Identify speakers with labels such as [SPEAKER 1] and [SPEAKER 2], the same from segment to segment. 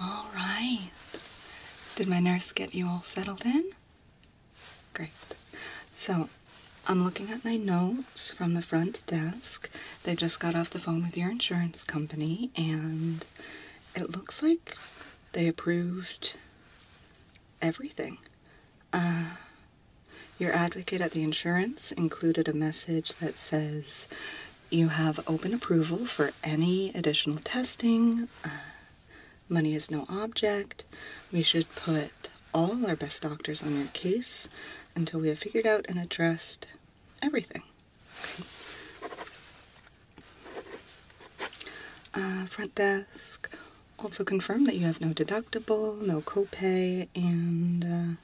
[SPEAKER 1] All right. Did my nurse get you all settled in? Great. So, I'm looking at my notes from the front desk. They just got off the phone with your insurance company, and it looks like they approved everything. Uh, your advocate at the insurance included a message that says you have open approval for any additional testing. Uh, money is no object. We should put all our best doctors on your case until we have figured out and addressed everything. Uh, front desk also confirm that you have no deductible, no copay, and uh,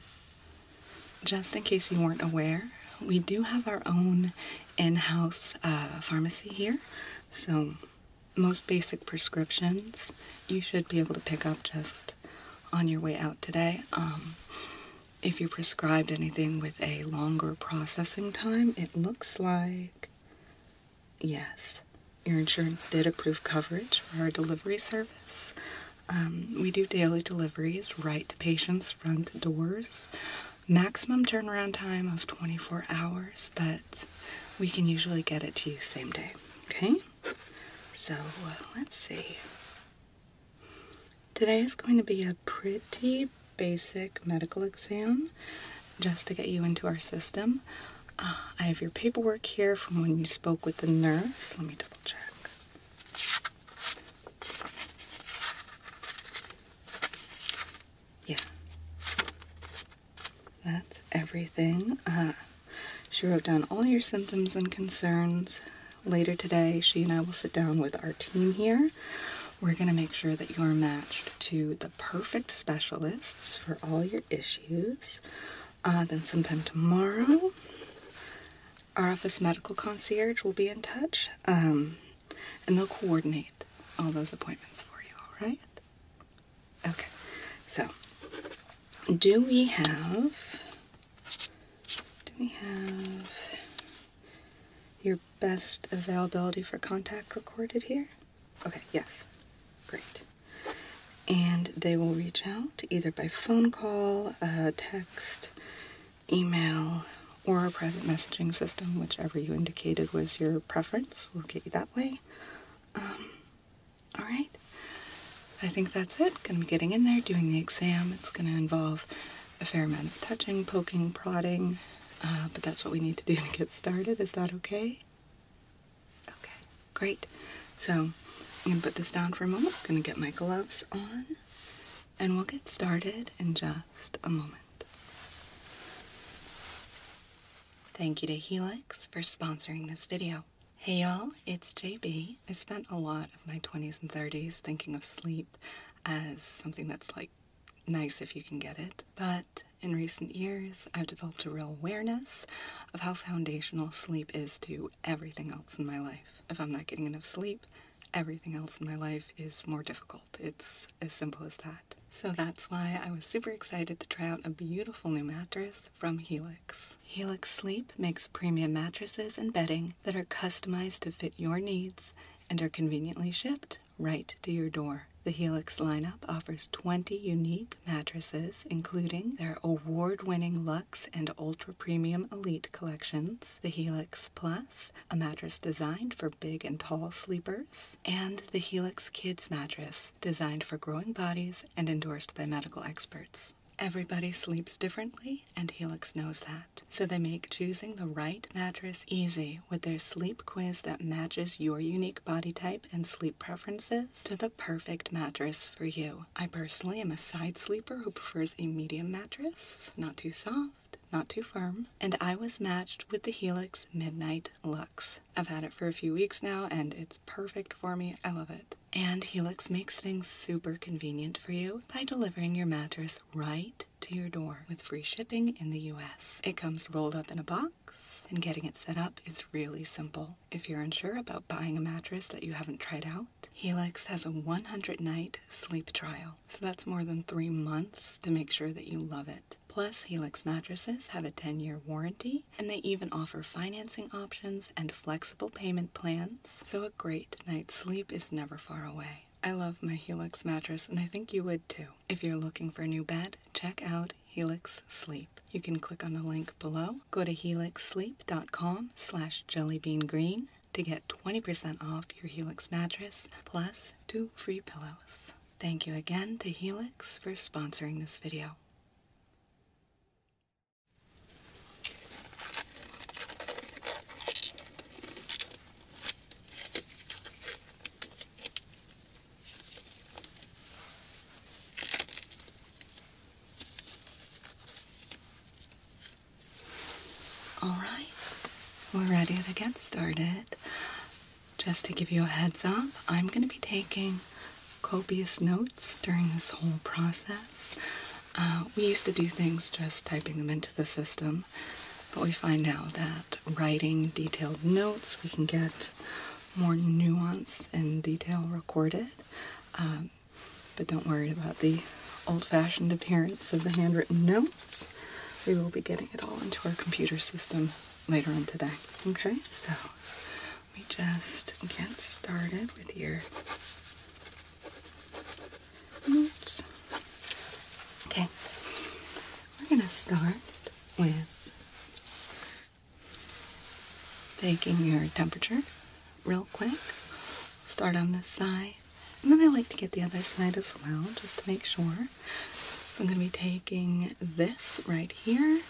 [SPEAKER 1] just in case you weren't aware, we do have our own in house uh, pharmacy here. So, most basic prescriptions you should be able to pick up just on your way out today. Um, if you prescribed anything with a longer processing time, it looks like yes, your insurance did approve coverage for our delivery service. Um, we do daily deliveries right to patients' front doors. Maximum turnaround time of 24 hours, but we can usually get it to you same day. Okay? So uh, let's see. Today is going to be a pretty basic medical exam just to get you into our system. Uh, I have your paperwork here from when you spoke with the nurse. Let me double check. Yeah. That's everything. Uh, she wrote down all your symptoms and concerns. Later today, she and I will sit down with our team here. We're going to make sure that you're matched to the perfect specialists for all your issues. Uh, then sometime tomorrow, our office medical concierge will be in touch um, and they'll coordinate all those appointments for you, all right? Okay, so do we have, do we have your best availability for contact recorded here? Okay, yes, great. And they will reach out either by phone call, uh, text, email, or a private messaging system, whichever you indicated was your preference. We'll get you that way. Um, all right. I think that's it. Gonna be getting in there, doing the exam. It's gonna involve a fair amount of touching, poking, prodding, uh, but that's what we need to do to get started. Is that okay? Okay, great. So I'm gonna put this down for a moment. gonna get my gloves on and we'll get started in just a moment. Thank you to Helix for sponsoring this video. Hey y'all, it's JB. I spent a lot of my 20s and 30s thinking of sleep as something that's like nice if you can get it, but in recent years, I've developed a real awareness of how foundational sleep is to everything else in my life. If I'm not getting enough sleep, everything else in my life is more difficult. It's as simple as that. So that's why I was super excited to try out a beautiful new mattress from Helix. Helix Sleep makes premium mattresses and bedding that are customized to fit your needs and are conveniently shipped right to your door. The Helix lineup offers 20 unique mattresses, including their award winning Luxe and Ultra Premium Elite collections, the Helix Plus, a mattress designed for big and tall sleepers, and the Helix Kids mattress, designed for growing bodies and endorsed by medical experts. Everybody sleeps differently, and Helix knows that. So they make choosing the right mattress easy with their sleep quiz that matches your unique body type and sleep preferences to the perfect mattress for you. I personally am a side sleeper who prefers a medium mattress, not too soft, not too firm, and I was matched with the Helix Midnight Lux. I've had it for a few weeks now and it's perfect for me. I love it. And Helix makes things super convenient for you by delivering your mattress right to your door with free shipping in the US. It comes rolled up in a box and getting it set up is really simple. If you're unsure about buying a mattress that you haven't tried out, Helix has a 100 night sleep trial so that's more than three months to make sure that you love it. Plus, Helix mattresses have a 10 year warranty and they even offer financing options and flexible payment plans. So a great night's sleep is never far away. I love my Helix mattress and I think you would too. If you're looking for a new bed, check out Helix Sleep. You can click on the link below, go to helixsleep.com slash jellybeangreen to get 20% off your Helix mattress plus two free pillows. Thank you again to Helix for sponsoring this video. All right, we're ready to get started. Just to give you a heads up, I'm going to be taking copious notes during this whole process. Uh, we used to do things just typing them into the system, but we find now that writing detailed notes, we can get more nuance and detail recorded. Um, but don't worry about the old-fashioned appearance of the handwritten notes. We will be getting it all into our computer system later on today. Okay, so we just get started with your notes. Okay, we're gonna start with taking your temperature real quick. Start on this side. And then I like to get the other side as well, just to make sure. So I'm going to be taking this right here,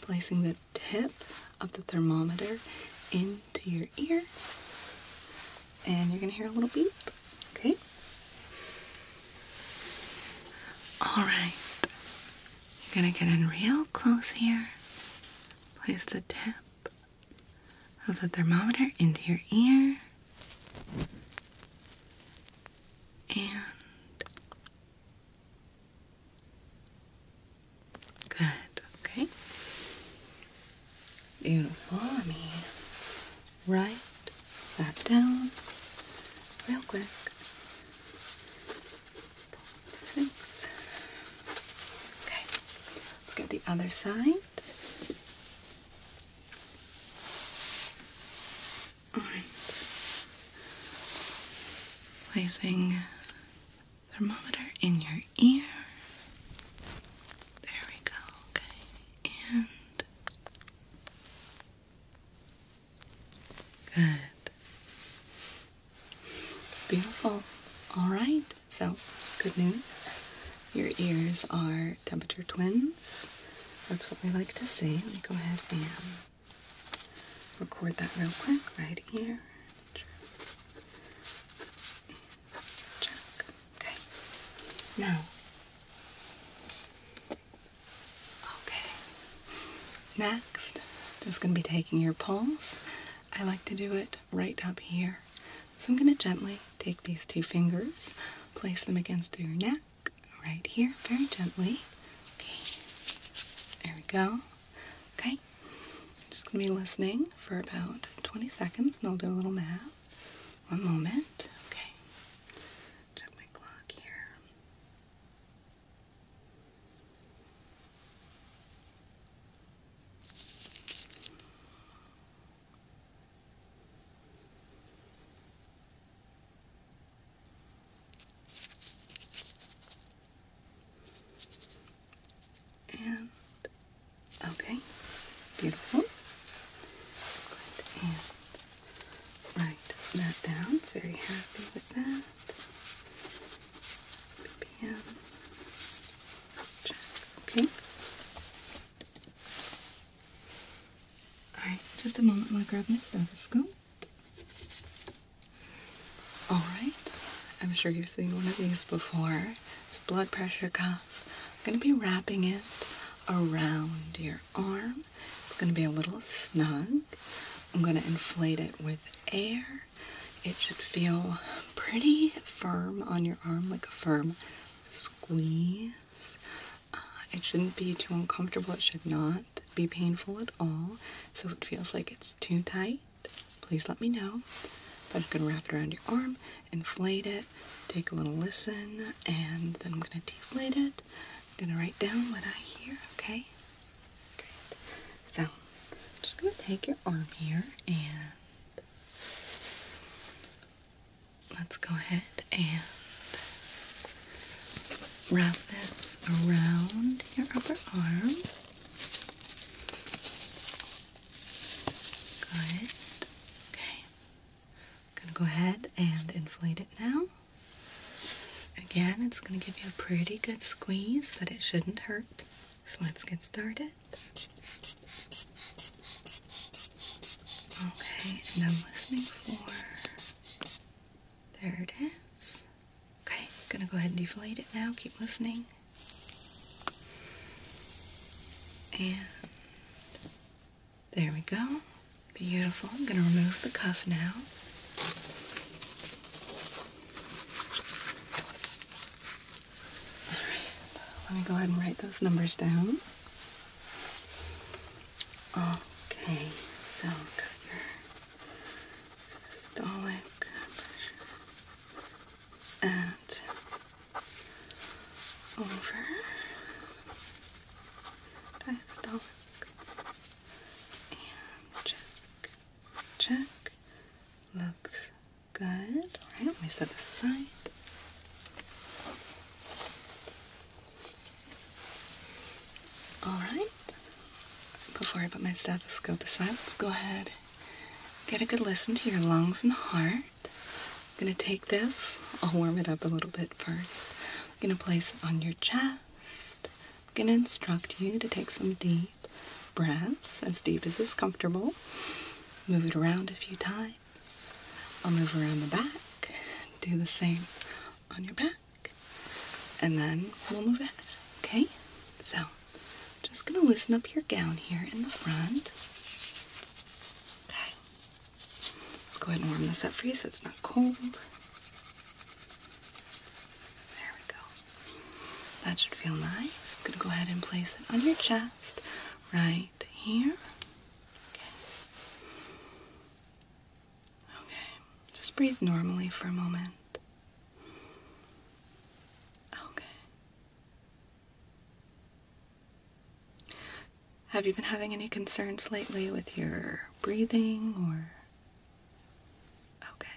[SPEAKER 1] placing the tip of the thermometer into your ear, and you're going to hear a little beep, okay? Alright, I'm going to get in real close here, place the tip Put the thermometer into your ear and good okay beautiful let me write that down real quick Six. okay let's get the other side all right. Placing thermometer in your ear. There we go. Okay. And Good. Beautiful. All right. So, good news. Your ears are temperature twins. That's what we like to see. Let me go ahead and record that real quick right here. Check. Okay. Now. Okay. Next, just going to be taking your pulse. I like to do it right up here so I'm going to gently take these two fingers, place them against your neck right here, very gently. Okay, there we go. Okay, just going to be listening for about 20 seconds and I'll do a little math. One moment. Okay, check my clock here. And okay, beautiful. Good. And write that down. Very happy with that. Okay. Alright, just a moment while I grab my stethoscope. Alright, I'm sure you've seen one of these before. It's a blood pressure cuff. I'm going to be wrapping it around your arm. It's going to be a little snug. I'm going to inflate it with air. It should feel pretty firm on your arm, like a firm squeeze. Uh, it shouldn't be too uncomfortable. It should not be painful at all. So if it feels like it's too tight, please let me know. But I'm going to wrap it around your arm, inflate it, take a little listen, and then I'm going to deflate it. I'm going to write down what I hear, okay? Great. So I'm just going to take your arm here and let's go ahead and wrap this around your upper arm. Good. Okay. I'm gonna go ahead and inflate it now. Again, it's gonna give you a pretty good squeeze, but it shouldn't hurt. So let's get started. Okay, and I'm listening for. There it is. Okay, I'm gonna go ahead and deflate it now. Keep listening. And there we go. Beautiful. I'm gonna remove the cuff now let me go ahead and write those numbers down. Okay, so got your over diastolic and check, Looks Good. Alright, let me set this aside. Alright. Before I put my stethoscope aside, let's go ahead get a good listen to your lungs and heart. I'm gonna take this, I'll warm it up a little bit first. I'm gonna place it on your chest. I'm gonna instruct you to take some deep breaths, as deep as is comfortable. Move it around a few times. I'll move around the back, do the same on your back, and then we'll move it. okay? So, just gonna loosen up your gown here in the front. Okay. go ahead and warm this up for you so it's not cold. There we go. That should feel nice. I'm gonna go ahead and place it on your chest right here. Okay. Okay. Just breathe normally for a moment. Okay. Have you been having any concerns lately with your breathing or okay.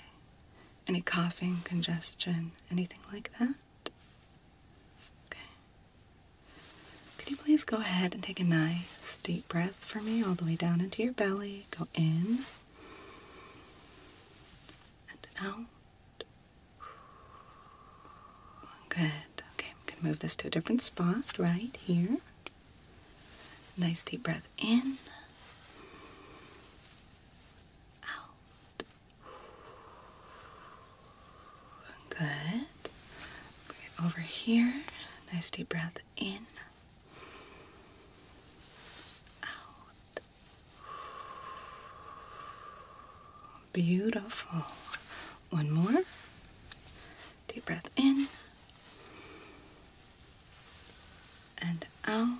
[SPEAKER 1] Any coughing, congestion, anything like that? Okay. Could you please go ahead and take a nice deep breath for me all the way down into your belly? Go in and out. Good. Okay, I'm going to move this to a different spot right here. Nice deep breath in. Out. Good. over here. Nice deep breath in. Out. Beautiful. One more. Deep breath in. And out.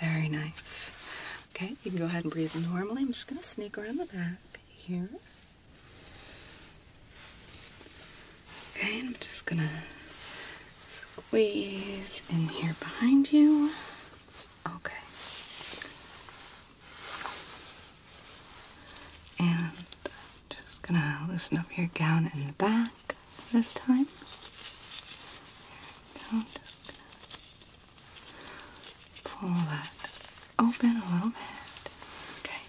[SPEAKER 1] Very nice. Okay, you can go ahead and breathe normally. I'm just going to sneak around the back here. Okay, I'm just going to squeeze in here behind you. Okay. And just going to loosen up your gown in the back this time. Pull that open a little bit. Okay.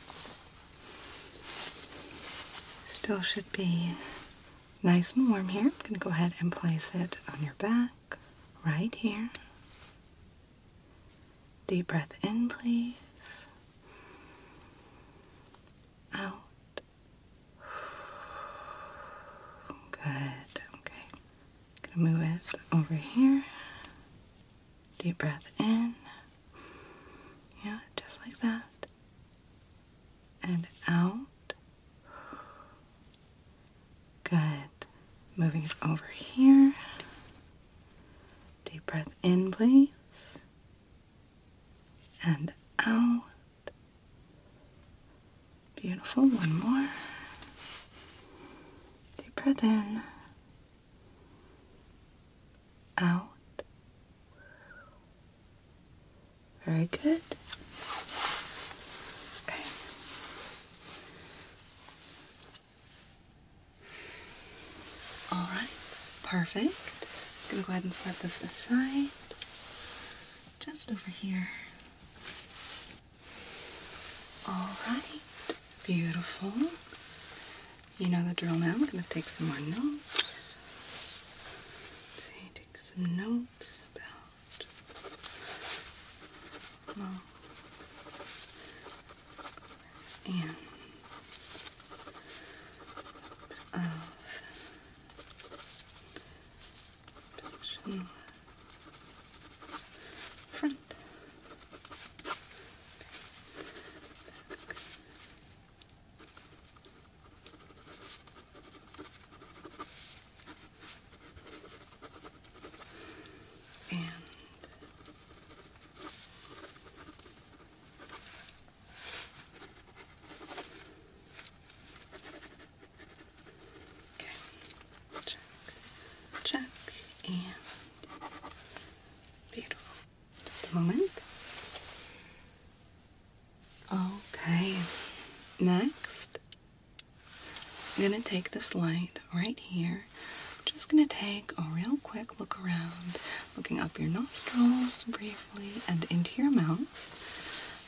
[SPEAKER 1] Still should be nice and warm here. I'm going to go ahead and place it on your back right here. Deep breath in, please. Out. Good. Okay. Gonna move it over here. Deep breath in. Yeah, just like that. And out. Good. Moving it over here. Deep breath in, please. And out. Beautiful. One more. Deep breath in. Out. Very good. All right. Perfect. I'm gonna go ahead and set this aside just over here. All right, beautiful. You know the drill now. I'm going to take some more notes. take some notes about Section front. Back. And Okay, check, check, and beautiful. Just a moment. Okay, next, I'm gonna take this light right here. just gonna take a real quick look around, looking up your nostrils briefly and into your mouth.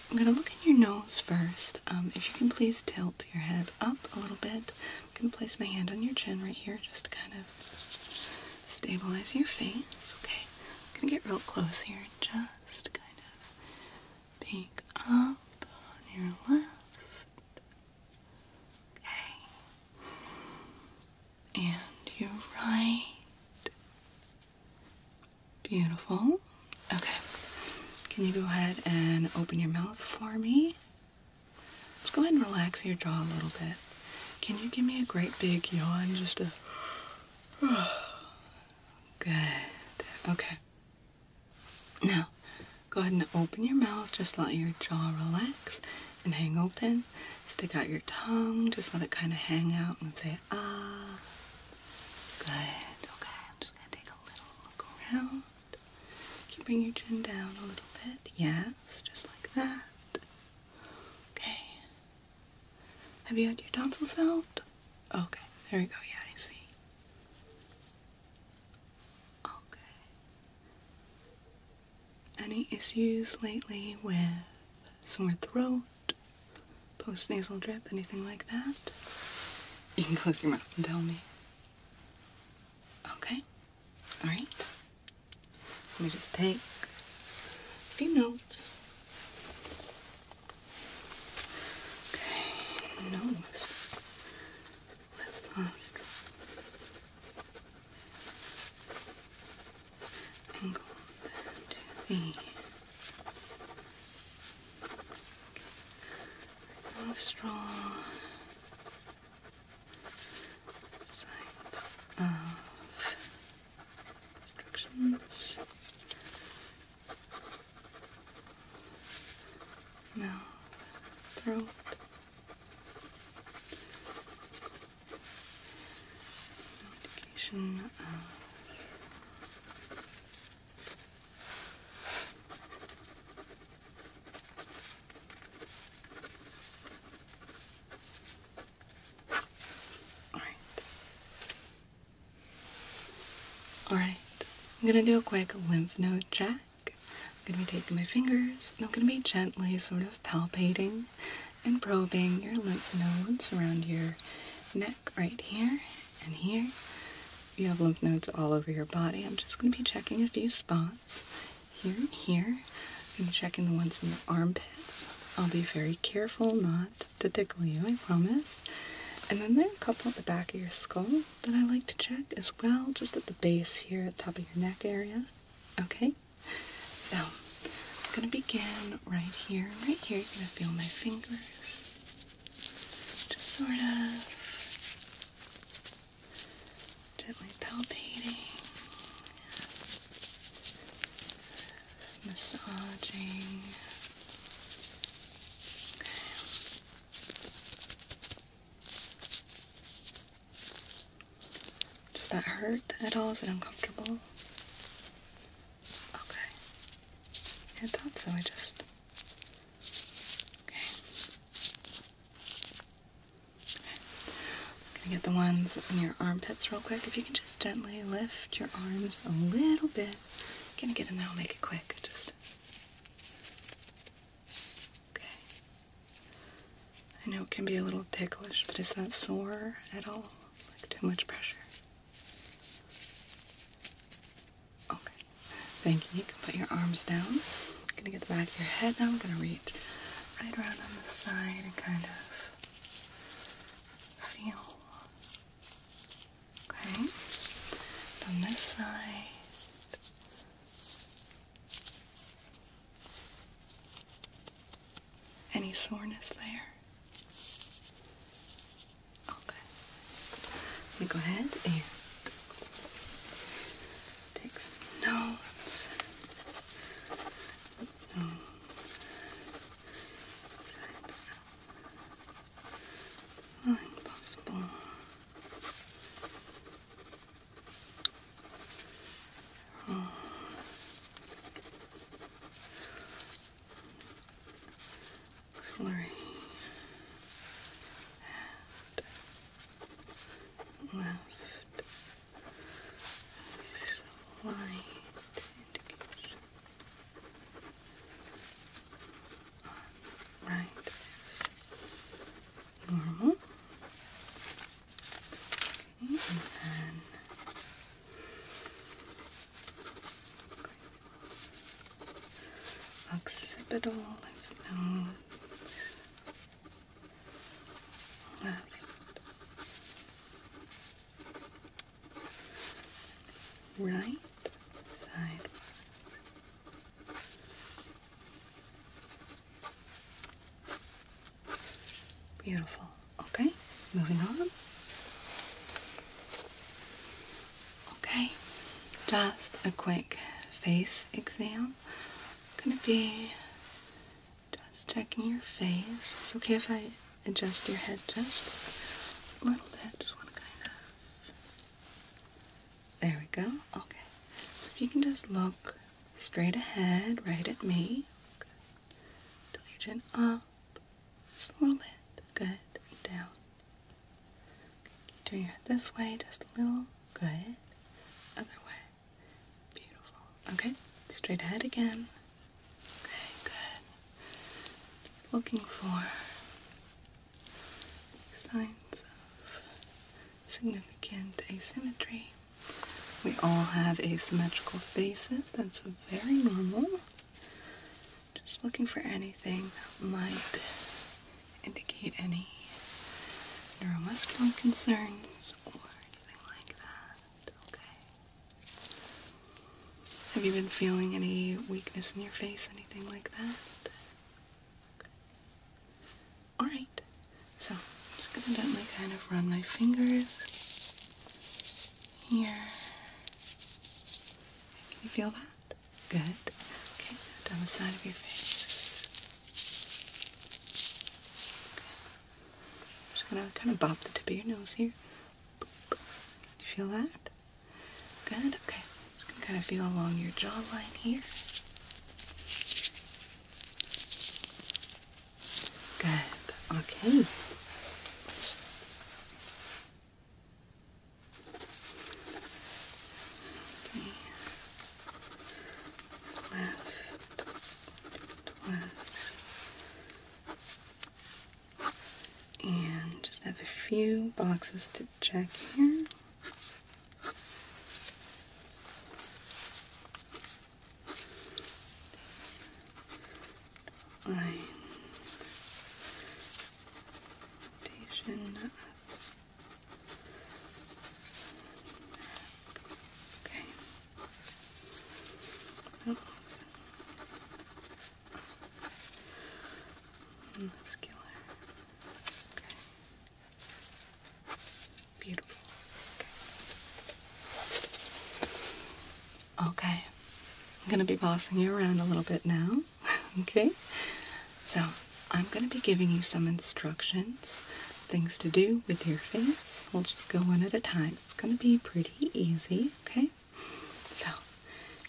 [SPEAKER 1] I'm going to look in your nose first. Um, if you can please tilt your head up a little bit. I'm going to place my hand on your chin right here just to kind of stabilize your face. Okay, I'm going to get real close here and just kind of peek up on your left. Okay. And your right. Beautiful. Okay. Can you go ahead and open your mouth for me? Let's go ahead and relax your jaw a little bit. Can you give me a great big yawn? Just a. Good. Okay. Now, go ahead and open your mouth. Just let your jaw relax and hang open. Stick out your tongue. Just let it kind of hang out and say, it ah. Good. Okay, I'm just gonna take a little look around. Keep bring your chin down a little bit. Yes, just like that. Okay. Have you had your tonsils out? Okay, there we go. Yeah, I see. Okay. Any issues lately with sore throat, Postnasal drip, anything like that. You can close your mouth and tell me. Okay. All right. Let me just take a few notes. nose, left nostril, angled to the nostril side of instructions. Mouth, throat. Notification of all right. All right. I'm going to do a quick lymph node check. I'm going to be taking my fingers and I'm going to be gently sort of palpating and probing your lymph nodes around your neck right here and here you have lymph nodes all over your body. I'm just going to be checking a few spots here and here. I'm going to check in the ones in the armpits. I'll be very careful not to tickle you, I promise. And then there are a couple at the back of your skull that I like to check as well, just at the base here, at top of your neck area. Okay? So, I'm going to begin right here. Right here, you're going to feel my fingers. Just sort of gently palpating, massaging. Does that hurt at all? Is it uncomfortable? Okay. I thought so. I just Okay. Okay. I'm gonna get the ones on your armpits real quick. If you can just gently lift your arms a little bit. I'm gonna get in there, I'll make it quick. Just Okay. I know it can be a little ticklish, but it's not sore at all. Like too much pressure. Okay. Thank you. You can put your arms down. I'm gonna get the back of your head now. I'm gonna reach right around on the side and kind of feel. Okay. on this side. Any soreness there? Okay. Let me go ahead and take some notes. No. Well, impossible. Oh. Slurry and left slight right normal. and then occipital lymph nodes, left. Right side. Beautiful. Okay, moving on. Okay, just a quick face exam. gonna be just checking your face. It's okay if I adjust your head just a little bit. Just want to kind of. There we go. Okay, so if you can just look straight ahead, right at me. Good. Tilt up just a little bit. Good. Down turn your head this way just a little. Good. Other way. Beautiful. Okay. Straight ahead again. Okay, good. looking for signs of significant asymmetry. We all have asymmetrical faces. That's very normal. Just looking for anything that might indicate any neuromuscular concerns or anything like that. Okay. Have you been feeling any weakness in your face, anything like that? All right. So I'm just gonna gently kind of run my fingers here. Can you feel that? Good. Okay, now down the side of your face. Okay. just gonna kind of bop the tip of your nose here. Do You feel that? Good. Okay. Just gonna kind of feel along your jawline here. Good. Okay. Left was and just have a few boxes to check here. Line foundation up. Okay. Oh. Muscular. Okay. Beautiful. Okay. okay. I'm going to be bossing you around a little bit now. okay? So, I'm going to be giving you some instructions, things to do with your face. We'll just go one at a time. It's going to be pretty easy, okay? So,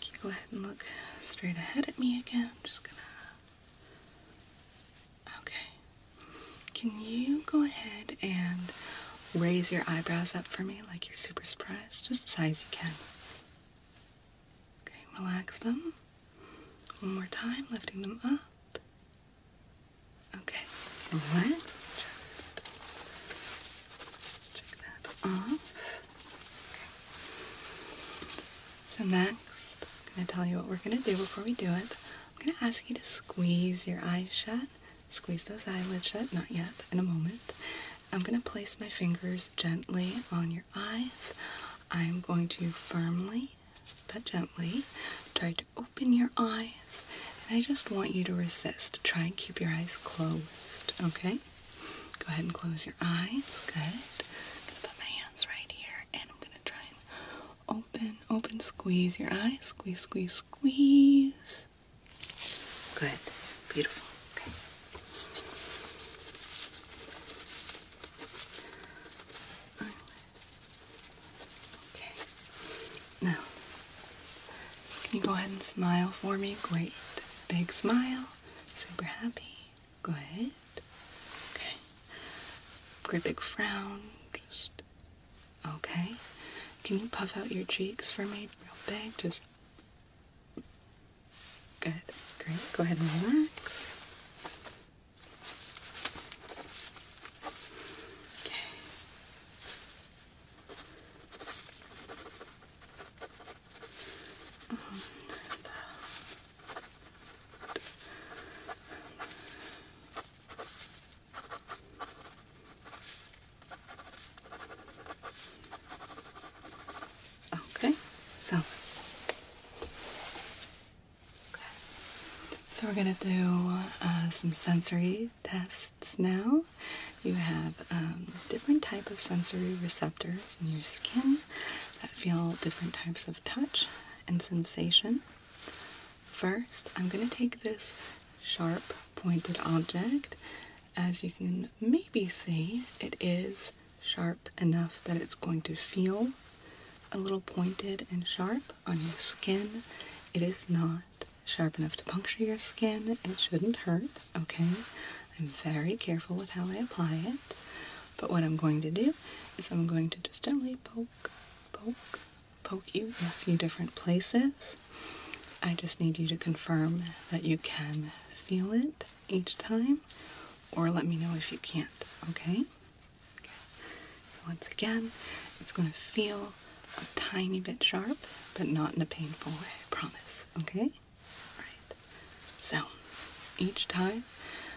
[SPEAKER 1] can you go ahead and look straight ahead at me again? just going to. Okay. Can you go ahead and raise your eyebrows up for me like you're super surprised? Just as high as you can. Okay, relax them. One more time, lifting them up. Okay, relax. Just check that off. Okay. So next, I'm gonna tell you what we're gonna do before we do it. I'm gonna ask you to squeeze your eyes shut. Squeeze those eyelids shut, not yet, in a moment. I'm gonna place my fingers gently on your eyes. I'm going to firmly but gently try to open your eyes. And I just want you to resist. Try and keep your eyes closed, okay? Go ahead and close your eyes. Good. I'm going to put my hands right here and I'm going to try and open, open, squeeze your eyes. Squeeze, squeeze, squeeze. Good. Beautiful. Okay. Okay. Now, can you go ahead and smile for me? Great. Big smile. Super happy. Good. Okay. Great big frown. Just okay. Can you puff out your cheeks for me real big? Just Good. Great. Go ahead and relax. Okay. Oh, Okay. Okay, so So we're gonna do uh, some sensory tests now. You have um, different type of sensory receptors in your skin that feel different types of touch and sensation. First, I'm gonna take this sharp pointed object. As you can maybe see, it is sharp enough that it's going to feel a little pointed and sharp on your skin. It is not sharp enough to puncture your skin. It shouldn't hurt, okay? I'm very careful with how I apply it. But what I'm going to do is I'm going to just gently poke, poke, poke you in a few different places. I just need you to confirm that you can feel it each time, or let me know if you can't, okay? So, once again, it's going to feel a tiny bit sharp, but not in a painful way, I promise, okay? Alright, so each time,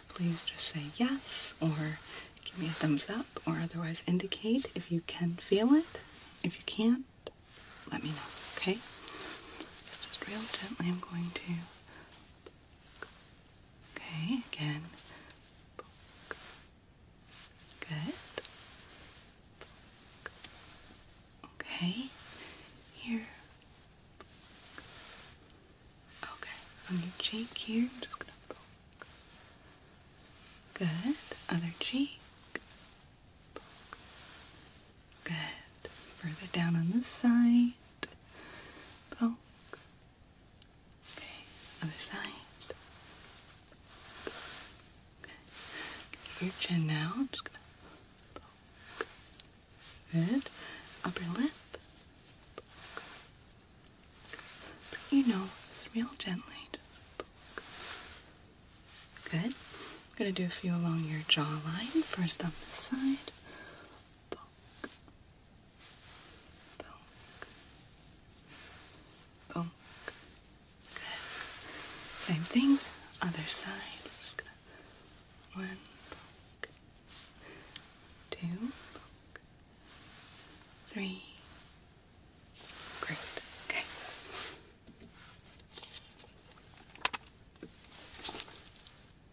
[SPEAKER 1] please just say yes or give me a thumbs up or otherwise indicate if you can feel it. If you can't, let me know, okay? just real gently, I'm going to Okay, again. Good. Okay. Here. Okay. On your cheek here, just gonna Good. Other cheek. Good. Further down on this side. Oh, okay. Other side. Good. Get your chin now. Good. Upper lip. Poke. Let real gently. Good. I'm gonna do a few along your jawline. First on this side. Poke. Poke. Poke. Good. Same thing. Other side. we Great. Okay.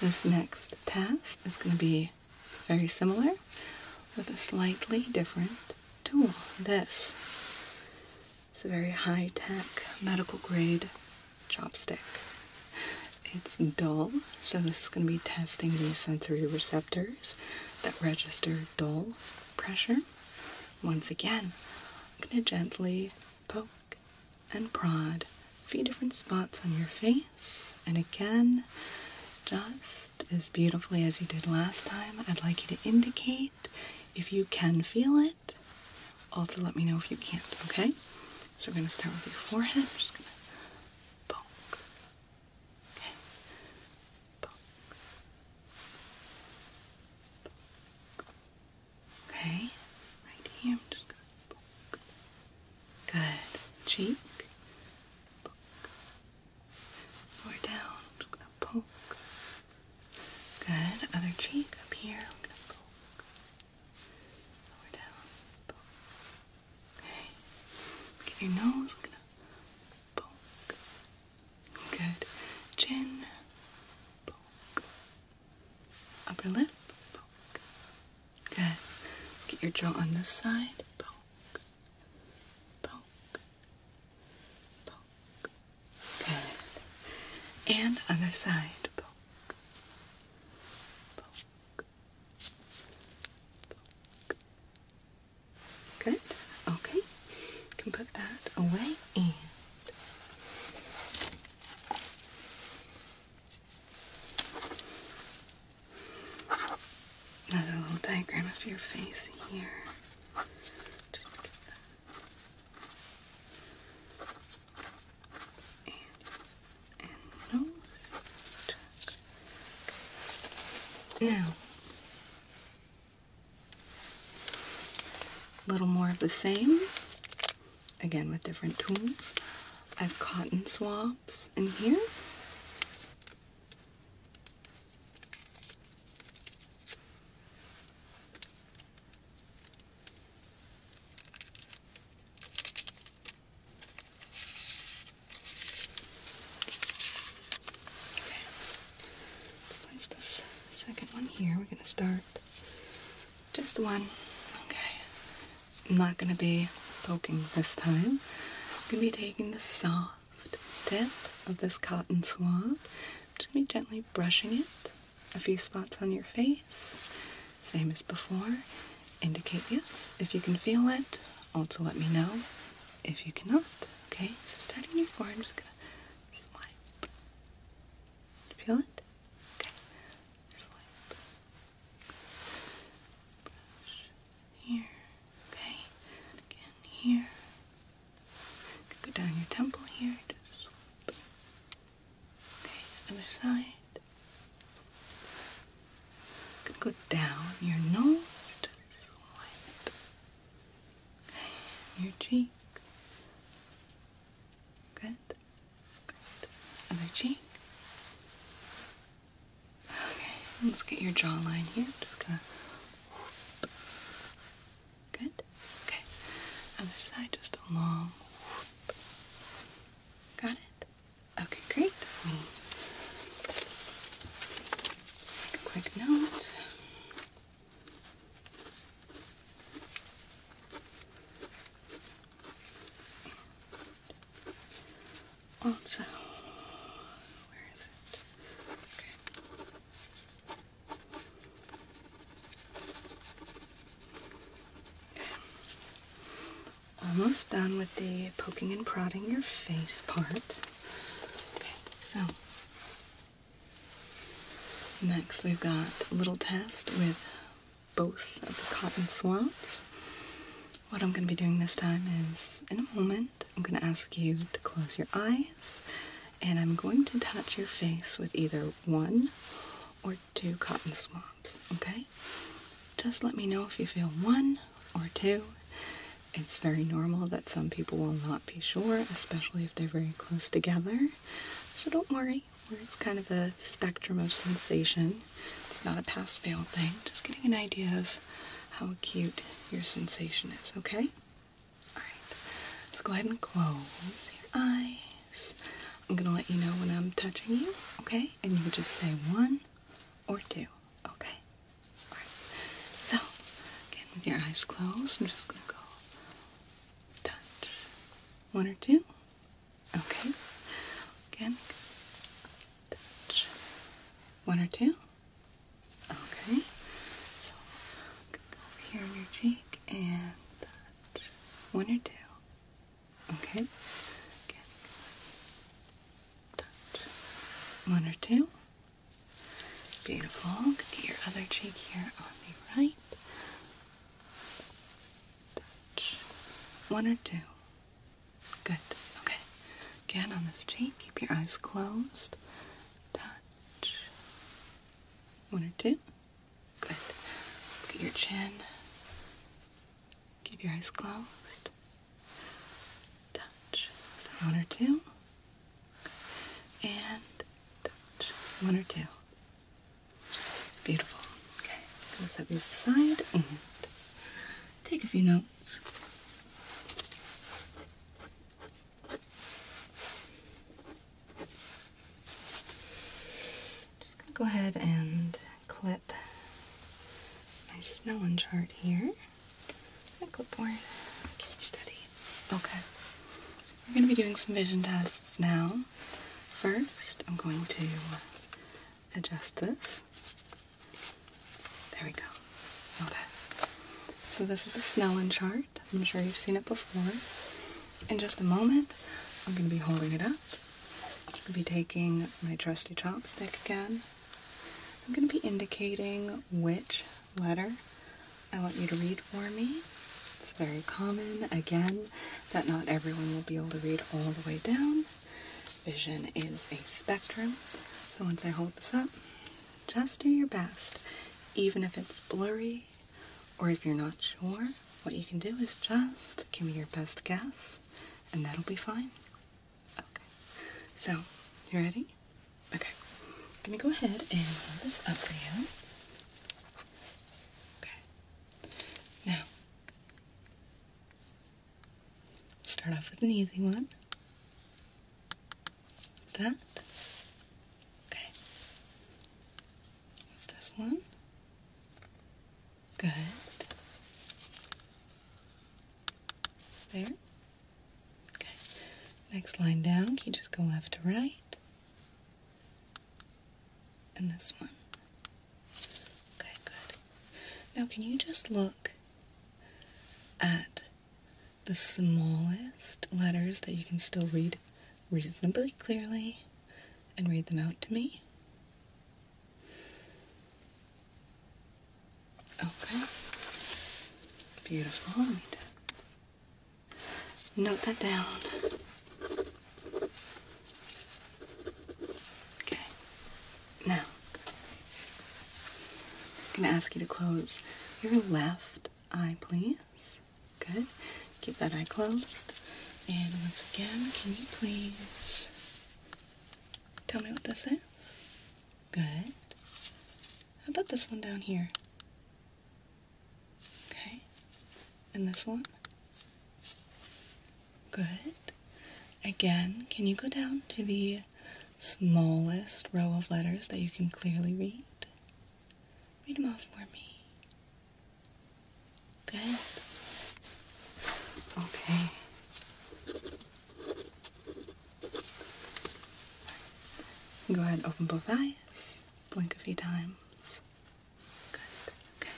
[SPEAKER 1] This next test is going to be very similar with a slightly different tool. This is a very high tech medical grade chopstick. It's dull, so this is going to be testing the sensory receptors that register dull pressure. Once again, I'm going to gently poke and prod a few different spots on your face. And again, just as beautifully as you did last time, I'd like you to indicate if you can feel it. Also, let me know if you can't, okay? So, we're going to start with your forehead. just going to poke. Okay. Poke. Poke. Okay, right here. I'm just gonna poke. Good. Cheek. Poke. Lower down. I'm just gonna poke. Good. Other cheek up here. i poke. Lower down. Poke. Okay. Look your nose. gonna poke. Good. Chin. Poke. Upper lip, poke. Good. Get your jaw on this side, poke, poke, poke. Good. And other side, poke, Good. Okay. You can put that away and Another little diagram of your face here. Just get that. And, nose. Now, a little more of the same again with different tools. I have cotton swabs in here. Okay. place this second one here. We're going to start just one. Okay. I'm not gonna be poking this time. I'm gonna be taking the soft tip of this cotton swab. Just be gently brushing it. A few spots on your face. Same as before. Indicate yes if you can feel it. Also let me know if you cannot. Okay, so starting your forearm, just gonna swipe. Feel it? Okay. Swipe. Brush here. Okay. again here. Go down your temple here. Just swipe. Okay. Other side. going go down your nose. Just swipe. Okay. Your cheek. Good. Good. Other cheek. Okay, let's get your jawline here. Just gonna. Good. Okay. Other side, just a long. Got it. Okay, great. quick note also, where is it? Okay. Almost done with the poking and prodding your face part. Okay, so next we've got a little test with both of the cotton swabs. What I'm going to be doing this time is, in a moment, I'm going to ask you to close your eyes and I'm going to touch your face with either one or two cotton swabs, okay? Just let me know if you feel one or two. It's very normal that some people will not be sure, especially if they're very close together. So don't worry, it's kind of a spectrum of sensation. It's not a pass-fail thing. Just getting an idea of how acute your sensation is, okay? Alright. Let's go ahead and close your eyes. I'm gonna let you know when I'm touching you, okay? And you just say one or two, okay? Alright. So, again, with your eyes closed, I'm just gonna go touch one or two. Okay. Again. Touch. One or two. Okay. So here on your cheek and touch. One or two. Okay. Again. Touch. One or two. Beautiful. Get your other cheek here on the right. Touch. One or two. Good. Okay. Again on this cheek. Keep your eyes closed. Touch. One or two. Good. Look at your chin. Keep your eyes closed. Touch. one or two. And touch. One or two. Beautiful. Okay, I'm gonna set this aside and take a few notes. Just gonna go ahead and clip my Snellen chart here. My board. Okay. We're gonna be doing some vision tests now. First, I'm going to adjust this. There we go. Okay. So this is a Snellen chart. I'm sure you've seen it before. In just a moment, I'm going to be holding it up. I'll be taking my trusty chopstick again. I'm going to be indicating which letter I want you to read for me. It's very common. Again, that not everyone will be able to read all the way down. Vision is a spectrum. So once I hold this up, just do your best. Even if it's blurry or if you're not sure, what you can do is just give me your best guess and that'll be fine. Okay. So, you ready? Okay. I'm gonna go ahead and hold this up for you. Okay. Now, start off with an easy one. What's that? Okay. What's this one? Good. There. Okay. Next line down, can you just go left to right? And this one. Okay, good. Now, can you just look at the smallest letters that you can still read reasonably clearly and read them out to me? Okay. Beautiful. Note that down. Okay. Now, I'm going to ask you to close your left eye, please. Good. Keep that eye closed. And once again, can you please tell me what this is? Good. How about this one down here? Okay. And this one? Good. Again, can you go down to the smallest row of letters that you can clearly read? Read them off for me. Good. Okay. Go ahead, open both eyes, blink a few times, Good. Okay.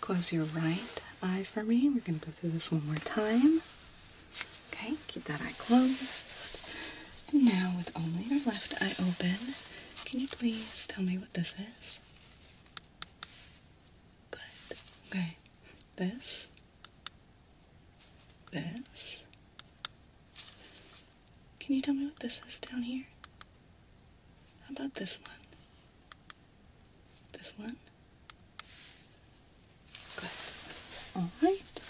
[SPEAKER 1] Close your right eye for me. We're going to go through this one more time. Okay. Keep that eye closed. now, with only your left eye open, can you please tell me what this is? Good. Okay. This. This. Can you tell me what this is down here? How about this one? This one? Good. All right.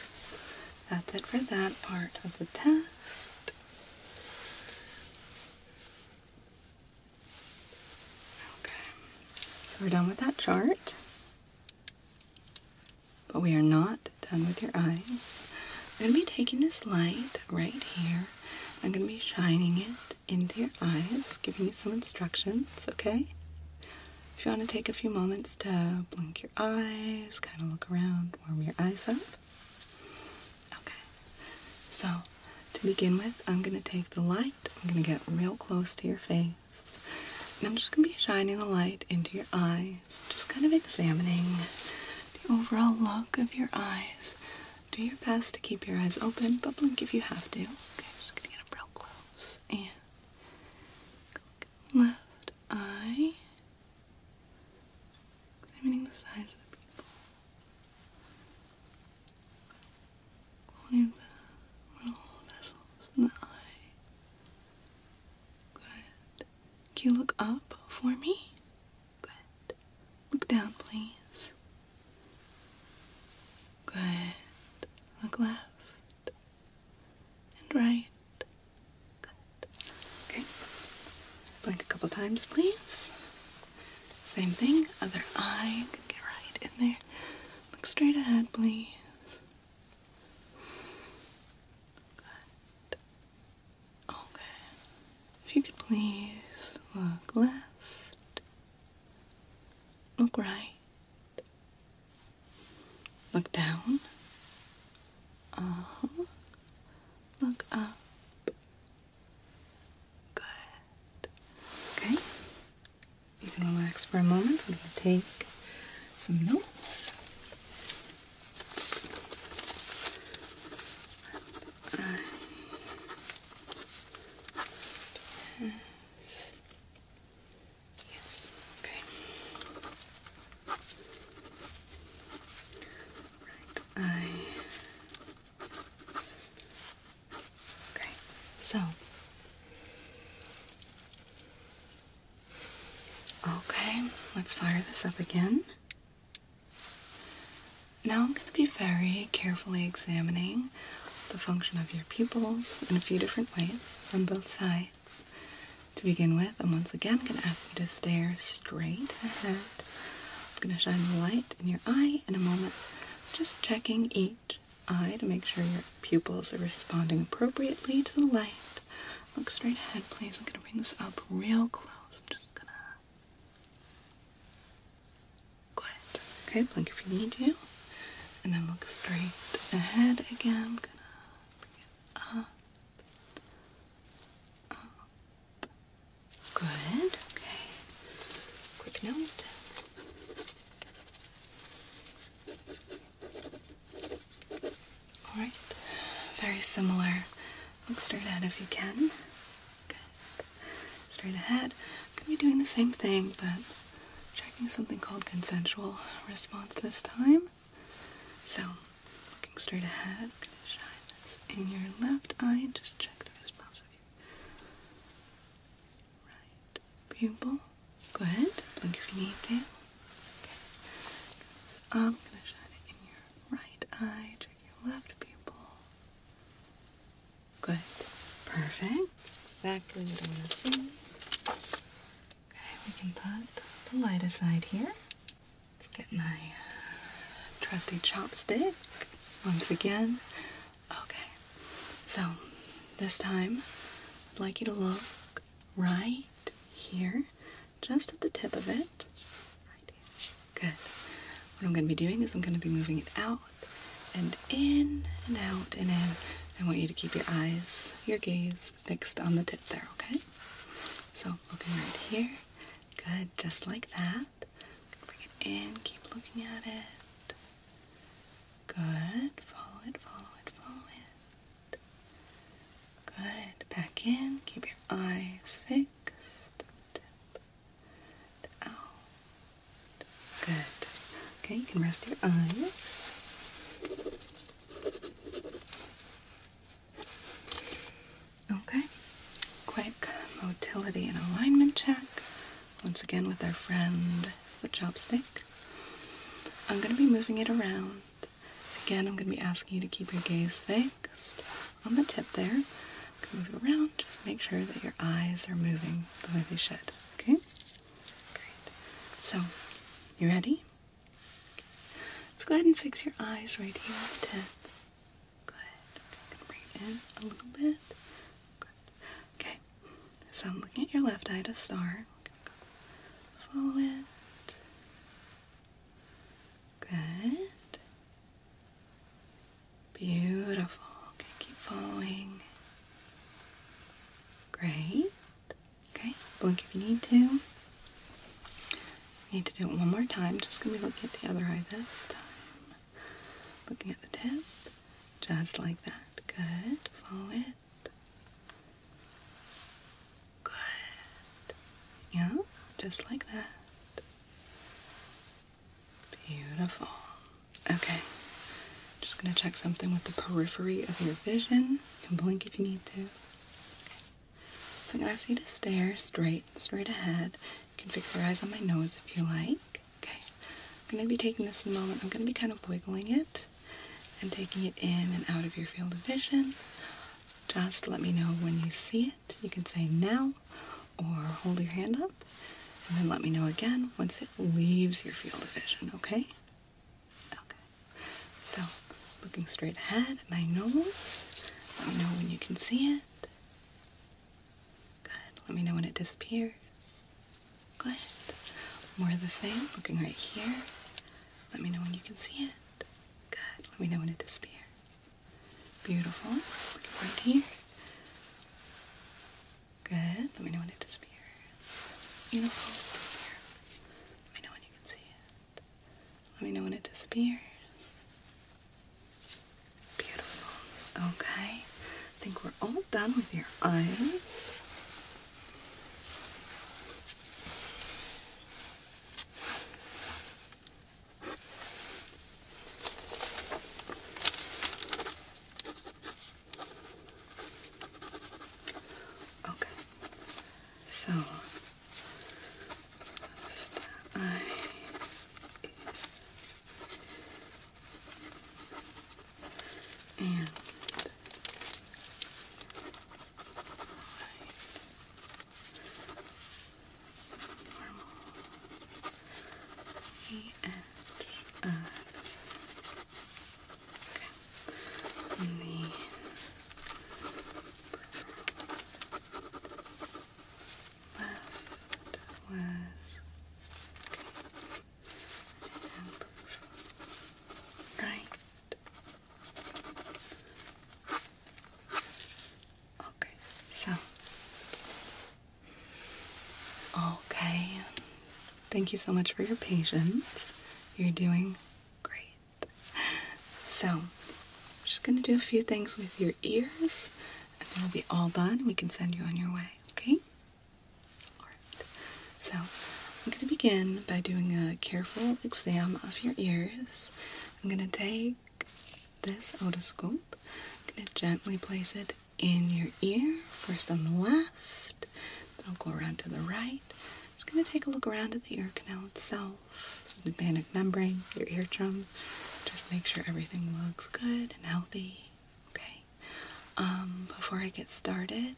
[SPEAKER 1] That's it for that part of the test. Okay. So we're done with that chart. But we are not done with your eyes. I'm going to be taking this light right here I'm going to be shining it into your eyes, giving you some instructions, okay? If you want to take a few moments to blink your eyes, kind of look around, warm your eyes up. Okay, so to begin with, I'm going to take the light, I'm going to get real close to your face, I'm just going to be shining the light into your eyes, just kind of examining the overall look of your eyes do your best to keep your eyes open, but blink if you have to. Okay, I'm just gonna get real close and left eye. Examining the size of the people. Only the little vessels in the eye. Good. Can you look up for me? Good. Look down, please. Good. Look left and right. Good. Okay. Blink a couple times, please. Same thing. Other eye. Get right in there. Look straight ahead, please. Good. Okay. If you could please look left, look right, look down, uh-huh. look up. Good. Okay. You can relax for a moment. We're going to take some notes. I yes, okay. Right, I okay, so okay, let's fire this up again. Now I'm going to be very carefully examining the function of your pupils in a few different ways on both sides. To begin with, I'm once again going to ask you to stare straight ahead. I'm going to shine the light in your eye in a moment, just checking each eye to make sure your pupils are responding appropriately to the light. Look straight ahead, please. I'm going to bring this up real close. I'm just going to Go Okay, blink if you need to. And then look straight ahead again. gonna bring it Up. Good. Okay. Quick note. Alright. Very similar Look straight ahead if you can. Good. Straight ahead. I'm going to be doing the same thing, but checking something called consensual response this time. So, looking straight ahead, I'm going to shine this in your left eye. Just check the response of your right pupil. Good. Blink if you need to. Okay. So I'm going to shine it in your right eye you loved people. Good. Perfect. Exactly what I want to see. Okay, we can put the light aside here. Get my trusty chopstick once again. Okay, so this time I'd like you to look right here, just at the tip of it. Good. What I'm going to be doing is I'm going to be moving it out and in and out and in. I want you to keep your eyes, your gaze fixed on the tip there, okay? So looking right here. Good, just like that. Bring it in, keep looking at it. Good, follow it, follow it, follow it. Good, back in, keep your eyes fixed. Tip. Good. Okay, you can rest your eyes. Okay, quick motility and alignment check. Once again, with our friend the chopstick. I'm going to be moving it around. Again, I'm going to be asking you to keep your gaze fixed on the tip there. Move around, just make sure that your eyes are moving the way they should. Okay? Great. So, you ready? Let's go ahead and fix your eyes right here on the tip. Good. bring in a little bit. Good. Okay. So I'm looking at your left eye to start. follow it. Good. Beautiful. Okay, keep following. Great. Okay, blink if you need to. Need to do it one more time. Just gonna be looking at the other eye this time. Looking at the tip. Just like that. Good. Follow it. Good. Yeah, just like that. Beautiful. Okay. Just gonna check something with the periphery of your vision. You can blink if you need to. So I'm gonna ask you to stare straight, straight ahead. You can fix your eyes on my nose if you like. Okay. I'm gonna be taking this in a moment. I'm gonna be kind of wiggling it and taking it in and out of your field of vision. Just let me know when you see it. You can say now or hold your hand up and then let me know again once it leaves your field of vision, okay? Okay. So, looking straight ahead at my nose. Let me know when you can see it. Good. Let me know when it disappears. Good. More the same. Looking right here. Let me know when you can see it. Good. Let me know when it disappears. Beautiful. Right here. Good. Let me know when it disappears. Beautiful. Here. Let me know when you can see it. Let me know when it disappears. Beautiful. Okay. I think we're all done with your eyes. Okay. So I and E and N. Okay. And the left was okay. and right. Okay, so. Okay. Thank you so much for your patience. You're doing great. So, I'm just gonna do a few things with your ears, and then we'll be all done. We can send you on your way, okay? Alright. So, I'm gonna begin by doing a careful exam of your ears. I'm gonna take this otoscope. I'm going to gently place it in your ear, first on the left, then I'll go around to the right. I'm just going to take a look around at the ear canal itself, the panic membrane, your eardrum. Just make sure everything looks good and healthy. Okay. Um, before I get started,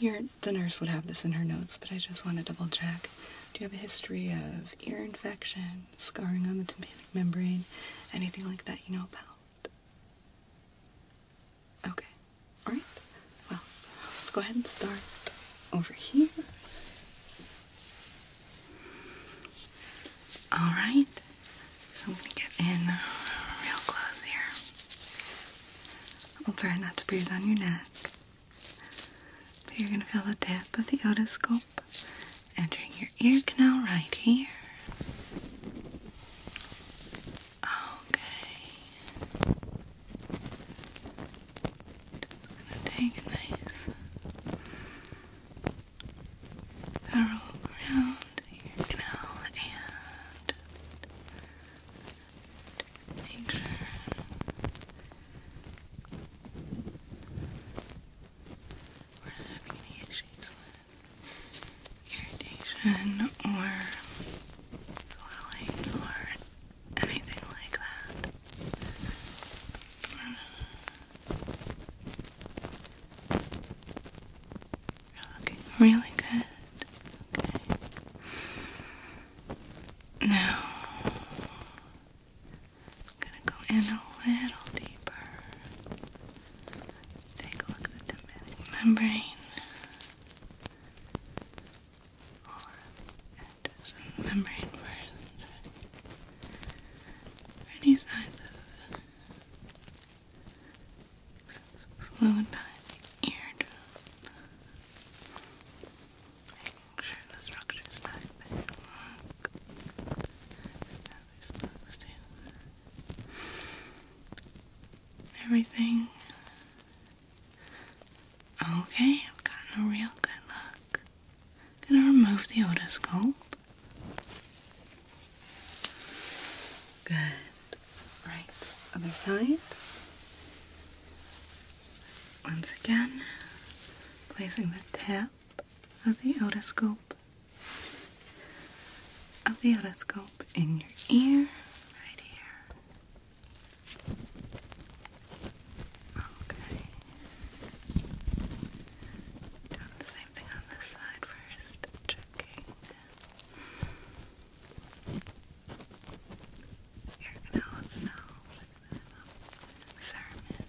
[SPEAKER 1] the nurse would have this in her notes, but I just want to double check. Do you have a history of ear infection, scarring on the tympanic membrane, anything like that you know about. Okay, alright. Well, let's go ahead and start over here. Alright, so I'm going to get in uh, real close here. I'll try not to breathe on your neck. But you're going to feel the tip of the otoscope entering your ear canal right here. Okay. gonna take a nice thorough around your canal and make sure we're having issues with irritation or swelling or anything like that. You're really good. Okay. Now I'm gonna go in a little deeper. Take a look at the tympanic membrane. Or Any signs of fluid behind the eardrum? Making sure the structure's not big. Everything okay. I've gotten a real good look. am gonna remove the otoscope. Good. Right, other side. Once again, placing the tip of the otoscope of the otoscope in your ear right here. Okay. Doing the same thing on this side first. Checking. You're gonna also check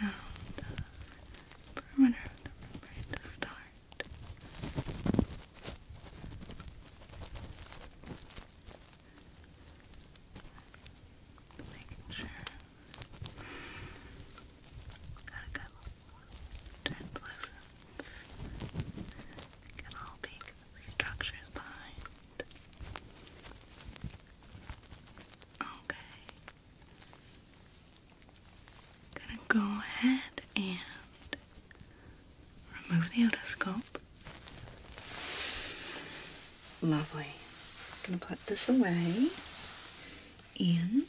[SPEAKER 1] around the perimeter to start. Making sure got a good translucence. Can all peek structures behind. Okay. Gonna go ahead and remove the otoscope. Lovely. Gonna put this away and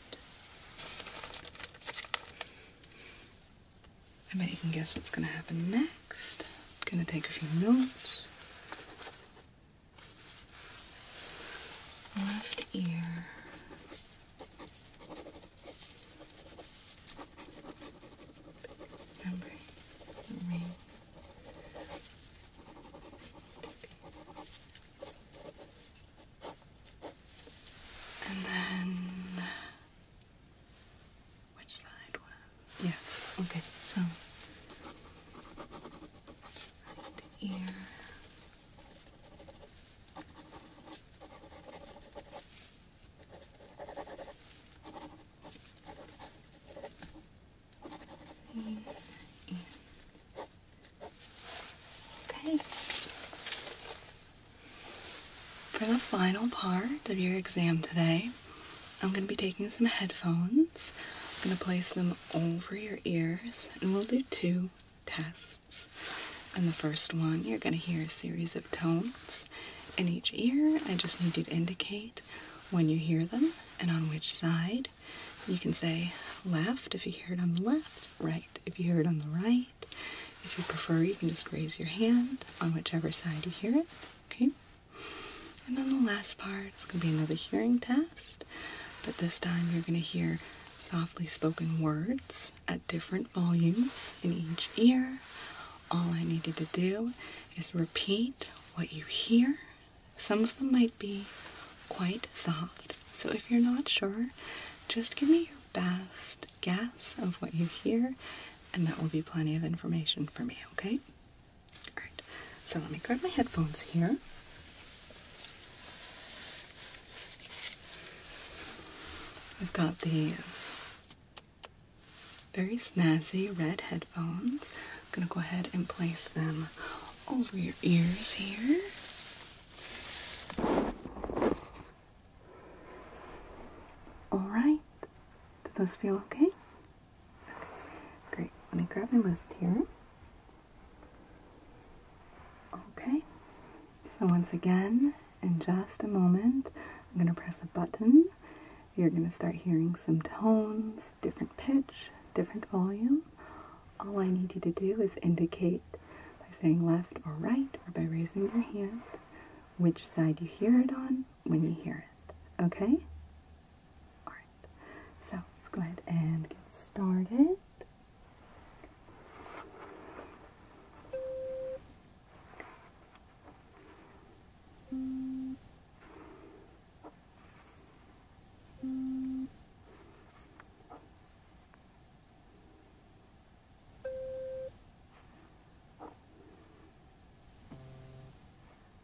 [SPEAKER 1] I bet you can guess what's gonna happen next. I'm going to take a few notes. Left ear. Remember ring. And then Yes. Okay. So right ear. Okay. For the final part of your exam today, I'm going to be taking some headphones. I'm going to place them over your ears and we'll do two tests. In the first one, you're going to hear a series of tones in each ear. I just need you to indicate when you hear them and on which side. You can say left if you hear it on the left, right if you hear it on the right. If you prefer, you can just raise your hand on whichever side you hear it. Okay? And then the last part is going to be another hearing test, but this time you're going to hear softly spoken words at different volumes in each ear. All I need you to do is repeat what you hear. Some of them might be quite soft, so if you're not sure, just give me your best guess of what you hear, and that will be plenty of information for me, okay? All right, so let me grab my headphones here. I've got these very snazzy red headphones. I'm gonna go ahead and place them over your ears here. All right, does this feel okay? Great. Let me grab my list here. Okay. So once again, in just a moment, I'm going to press a button. You're going to start hearing some tones, different pitch, different volume. All I need you to do is indicate by saying left or right or by raising your hand which side you hear it on when you hear it. Okay? Alright, so let's go ahead and get started.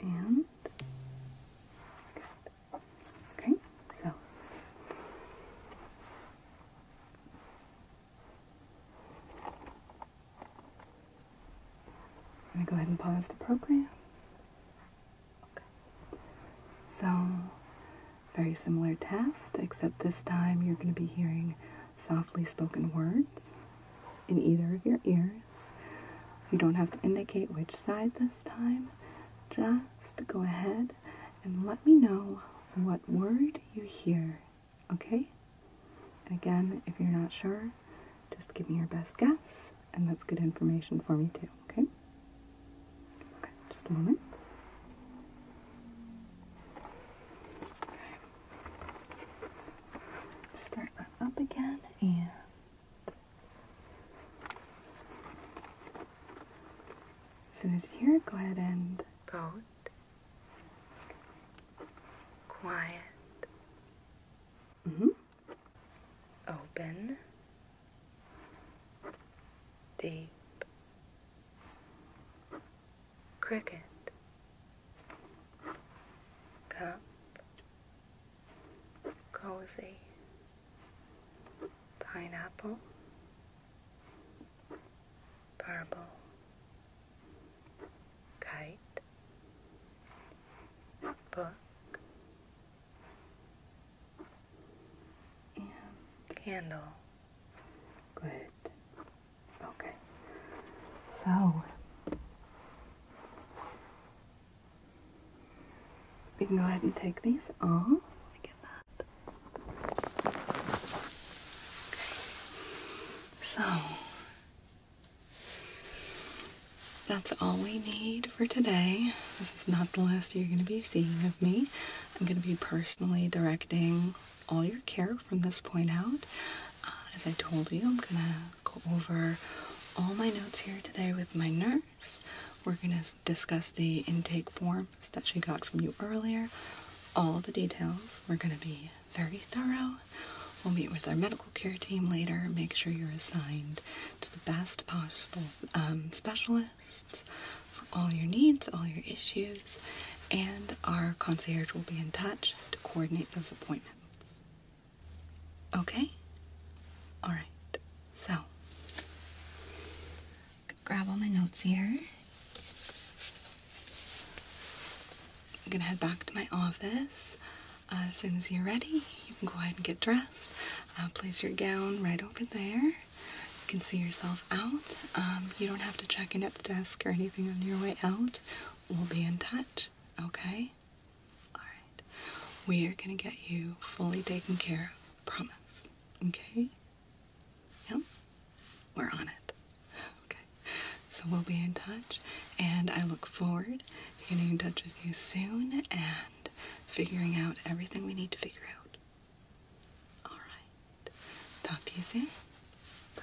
[SPEAKER 1] And Okay, so I'm going to go ahead and pause the program. So, very similar test, except this time you're going to be hearing softly spoken words in either of your ears. You don't have to indicate which side this time. Just go ahead and let me know what word you hear, okay? again, if you're not sure, just give me your best guess, and that's good information for me too, okay? Okay, just a moment. Okay. Start up again and so, as you hear it, go ahead and. Boat. Quiet. Mm-hmm. Open. Deep. Cricket. Cup go with a pineapple, purple, kite, book, and candle. Good. Okay. So we can go ahead and take these off. So that's all we need for today. This is not the last you're going to be seeing of me. I'm going to be personally directing all your care from this point out. Uh, as I told you, I'm going to go over all my notes here today with my nurse. We're going to discuss the intake forms that she got from you earlier, all the details. We're going to be very thorough. We'll meet with our medical care team later, make sure you're assigned to the best possible um, specialists for all your needs, all your issues, and our concierge will be in touch to coordinate those appointments. Okay? Alright, so grab all my notes here. I'm gonna head back to my office. Uh, as soon as you're ready, you can go ahead and get dressed. Uh, place your gown right over there. You can see yourself out. Um, you don't have to check in at the desk or anything on your way out. We'll be in touch, okay? Alright. We are going to get you fully taken care of. Promise. Okay? Yep. We're on it. Okay. So we'll be in touch, and I look forward to getting in touch with you soon and figuring out everything we need to figure out. Alright. Talk to you soon. Bye.